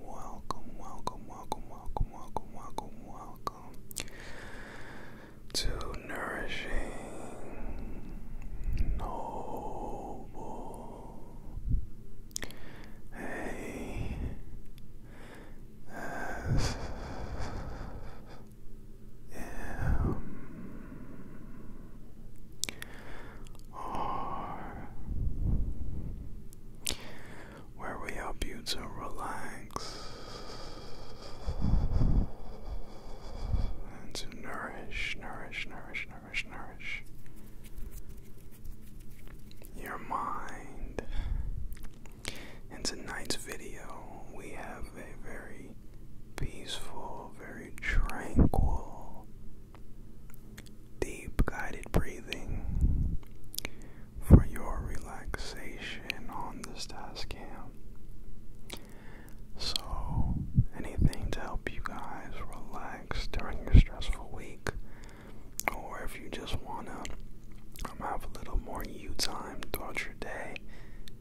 welcome, welcome, welcome, welcome, welcome, welcome, welcome to Nourishing Noble. Hey, S M R where we help you to relax and to nourish, nourish, nourish, nourish, nourish your mind. In tonight's video, we have a very peaceful, very tranquil deep guided breathing for your relaxation on this task cam. So, anything to help you guys relax during your stressful week, or if you just want to um, have a little more you time throughout your day,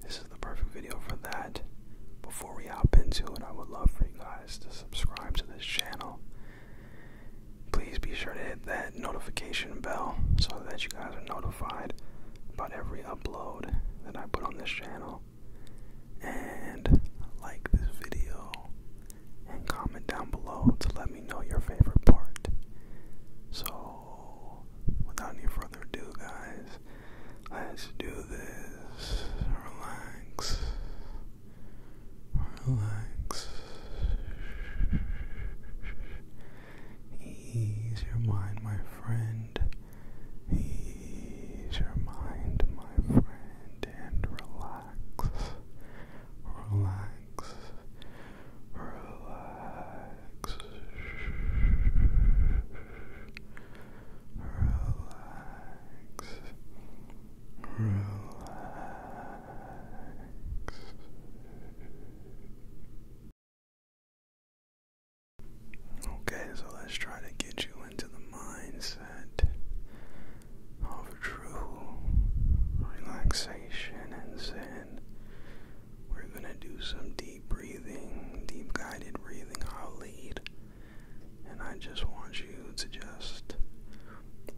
this is the perfect video for that. Before we hop into it, I would love for you guys to subscribe to this channel Please be sure to hit that notification bell so that you guys are notified about every upload that I put on this channel. And like this video and comment down below to let me know your favorite part. So, without any further ado, guys, let's do this. Relax relax, ease your mind, my friend, ease your mind, my friend, and relax, relax, relax. Relax, Okay, so let's try to get you into the mindset of true relaxation and zen. We're going to do some deep breathing, deep guided breathing. I'll lead. And I just want you to just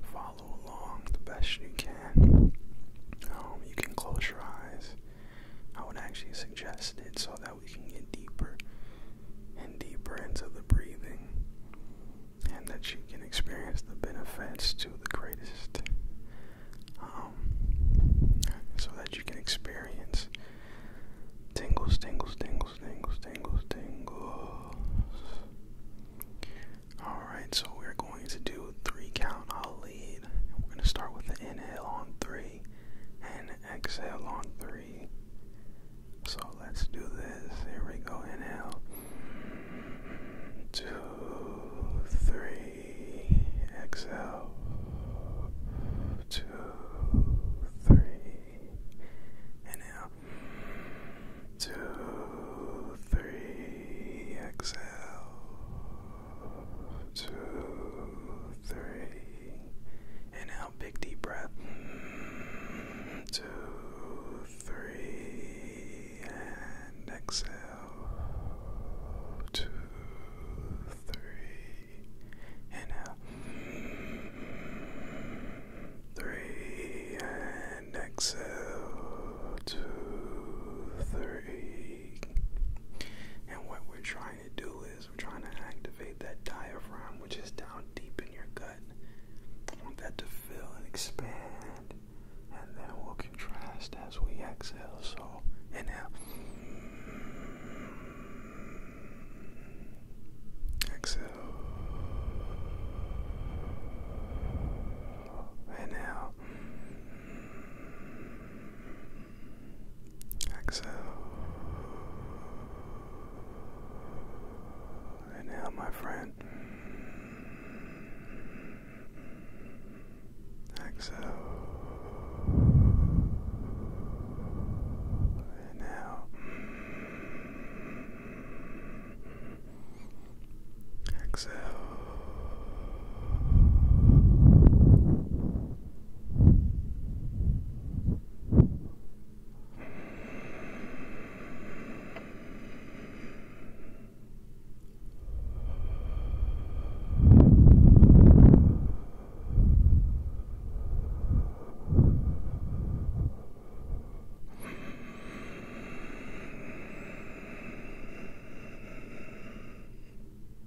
follow along the best you can. Um, you can close your eyes. I would actually suggest it so that we can get deeper and deeper into the breathing and that you can experience the benefits to the greatest. Um, so that you can experience tingles, tingles, tingles tingles, tingles, tingles, tingles. Alright, so we're going to do three count. I'll lead. We're going to start with an inhale on three and exhale on three. So let's do this. Here we go. Inhale. Two, three. Exhale. Two, three. Inhale two, three, exhale, two, three, inhale, big deep breath, two, three, and exhale, two, three, inhale three, and exhale, two, three. And what we're trying to do is we're trying to activate that diaphragm, which is down deep in your gut. I want that to fill and expand, and then we'll contrast as we exhale. So, inhale. Exhale. Inhale. Exhale. Inhale, my friend. Exhale. Inhale. Exhale. Exhale.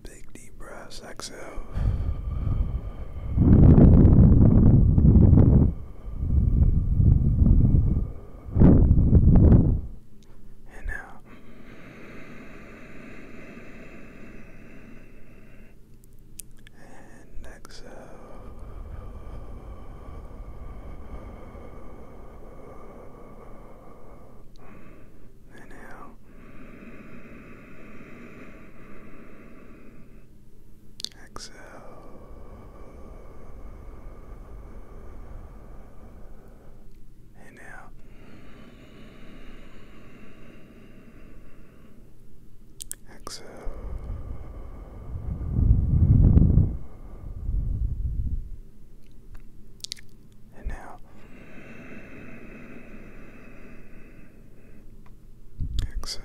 Big deep breaths, exhale. And now and exhale. Inhale. Exhale. Inhale. Exhale. And now exhale.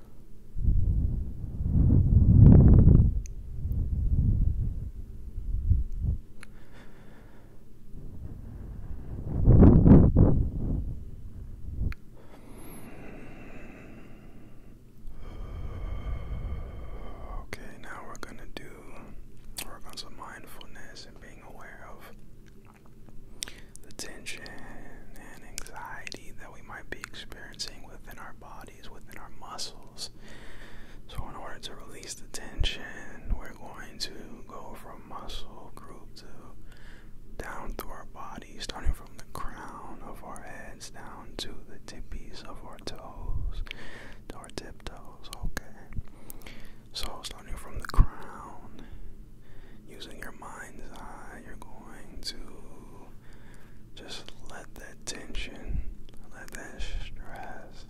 Okay, now we're going to do work on some mindfulness and being aware of the tension and anxiety that we might be experiencing within our body within our muscles. So, in order to release the tension, we're going to go from muscle group to down through our body, starting from the crown of our heads down to the tippies of our toes, to our tiptoes, okay? So, starting from the crown, using your mind's eye, you're going to just let that tension, let that stress,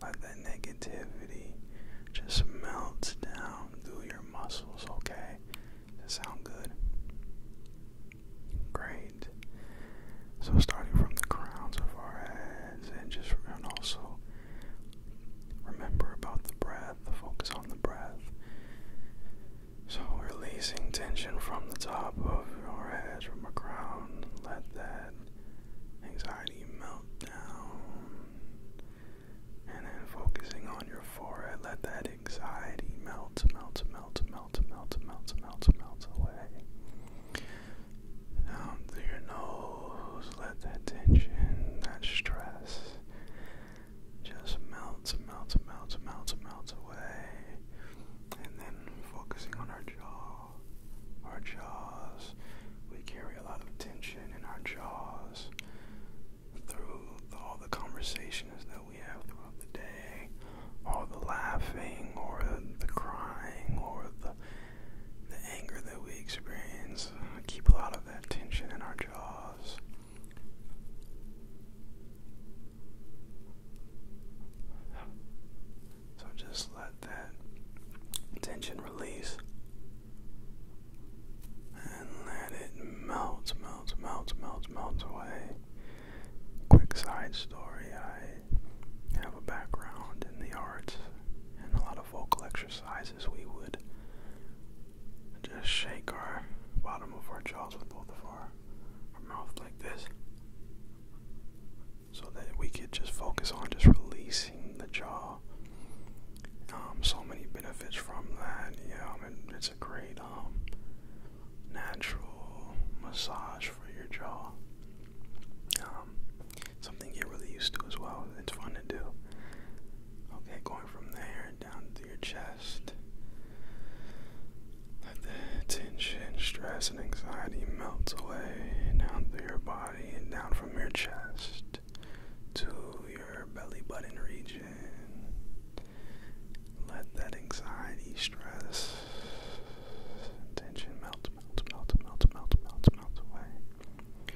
let that negativity just melt down through your muscles, okay? that sound good? Great. So starting from the crowns of our heads and just and also remember about the breath, focus on the breath. So, releasing tension from the top of your head, from your crown, let that anxiety melt down. And then focusing on your forehead, let that anxiety melt, melt, melt, melt, melt, melt, melt, melt away. Down through your nose, let that tension, that stress, just melts, melts, melts, melts, melts away. And then focusing on our jaw, our jaws. We carry a lot of tension in our jaws through all the conversations that we have throughout the day, all the laughing or the crying or the the anger that we experience. keep a lot of that tension in our jaws. So just let that tension release and let it melt, melt, melt, melt, melt away. Quick side story I have a background in the arts and a lot of vocal exercises. We would just shake our bottom of our jaws with both of our mouth like this so that we could just focus on just releasing the jaw. Um, so many benefits from that. Yeah, I it's a great um, natural massage for your jaw. Um, something you get really used to as well. It's fun to do. Okay, going from there down into your chest. Let the tension, stress, and anxiety melt away down through your body and down from your chest to your belly button region. Let that anxiety, stress, tension melt, melt, melt, melt, melt, melt, melt away.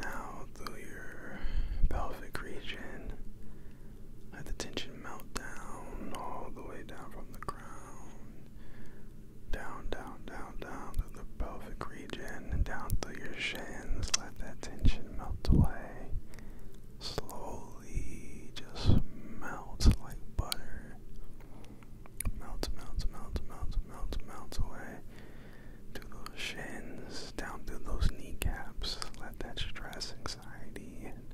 Now through your pelvic region, let the tension melt down, all the way down from the ground, down, down, down, down through the pelvic region, and down through your shins. Let that tension melt away. Slowly, just melt like butter. Melt, melt, melt, melt, melt, melt away. Through those shins, down through those kneecaps let that stress, anxiety, and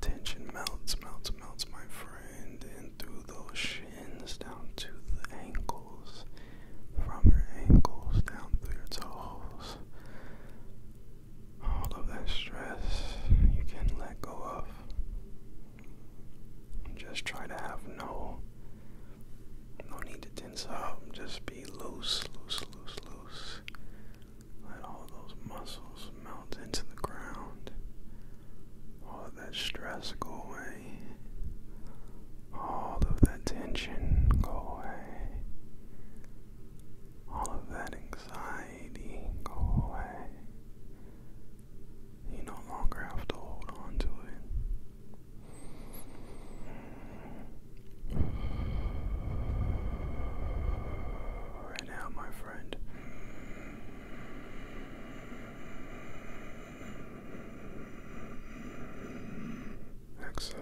tension melts, melts, melts, my friend, and through those shins down to the ankles, from your ankles down through your toes. All of that stress you can let go of. Just try to have no no need to tense up. Just be loose, loose, loose, let all those muscles melt into the ground. All that stress go away. All of that tension go away. All of that anxiety go away. You no longer have to hold on to it. Right now, my friend. Exhale.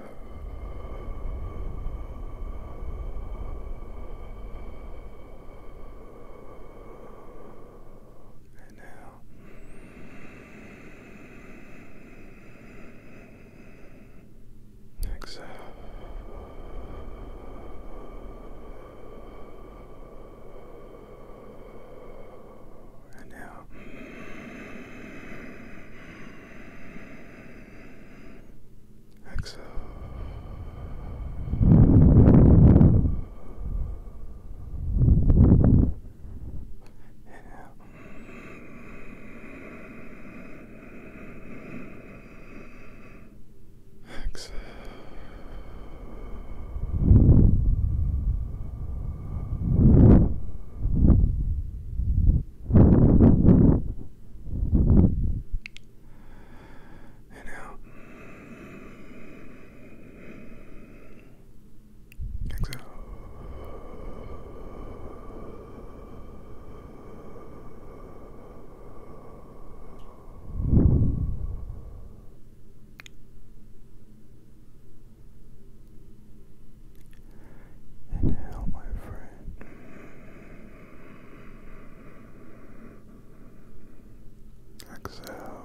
And now. Exhale. And now. Exhale. And now. Exhale. And out. Exhale. Inhale, my friend. Exhale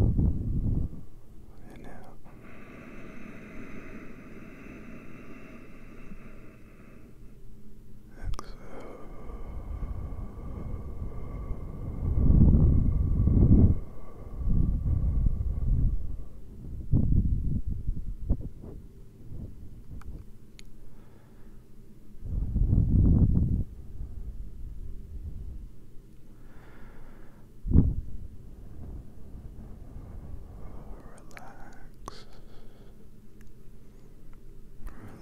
and out. Exhale. Relax.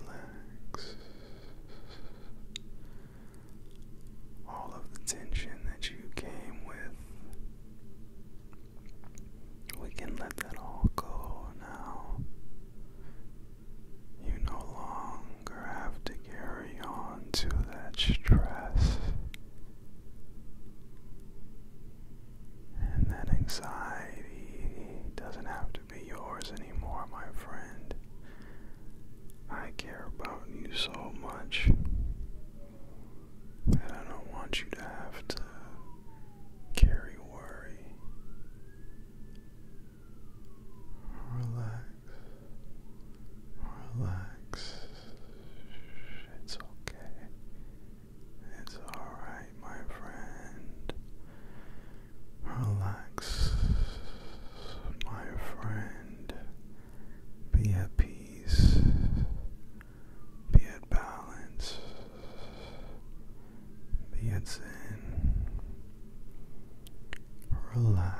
Relax. All of the tension that you came with, we can let that all go now. You no longer have to carry on to that stress and that anxiety doesn't have to be yours anymore, my friend. I care about you so much that I don't want you to have to carry worry. Relax. Relax. It's okay. It's alright, my friend. Relax, my friend. Be at peace. Be at balance. Beats in, relax,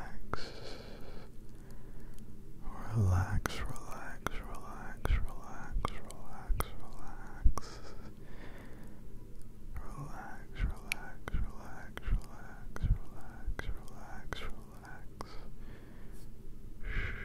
relax, relax, relax, relax, relax, relax, relax, relax, relax, relax, relax, relax, relax. Shh.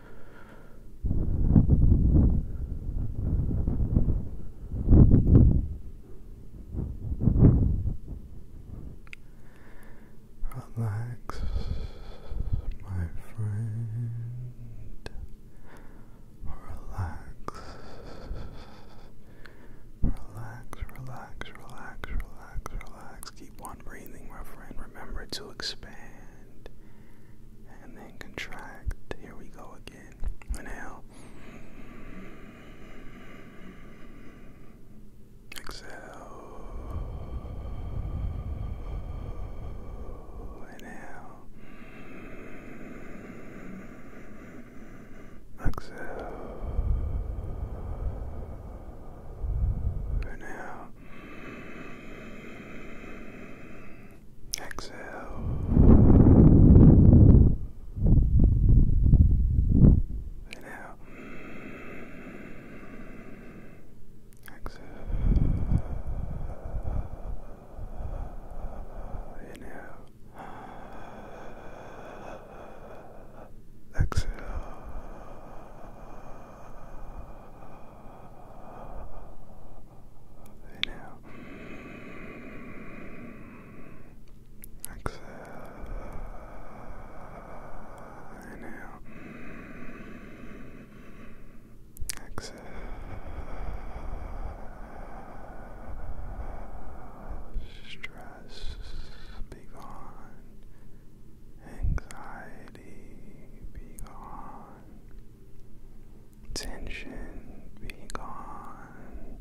Relax, my friend. Relax. Relax, relax, relax, relax, relax. Keep one breathing, my friend. Remember to expand and then contract. Here we go again. Inhale. Exhale. Inhale. Exhale. Inhale. Exhale. Inhale. Exhale. Inhale. Exhale in out. Exhale in out. Exhale stress be gone Anxiety be gone. Tension be gone.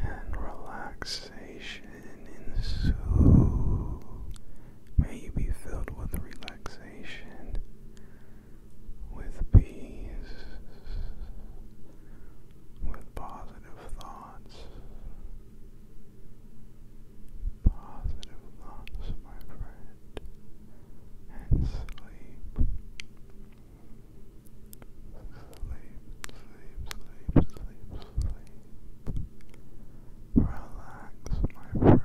And relaxation ensue. May you be filled with relaxation, with peace, with positive thoughts, positive thoughts, my friend, and sleep. Sleep, sleep, sleep, sleep, sleep. Relax, my friend. Relax.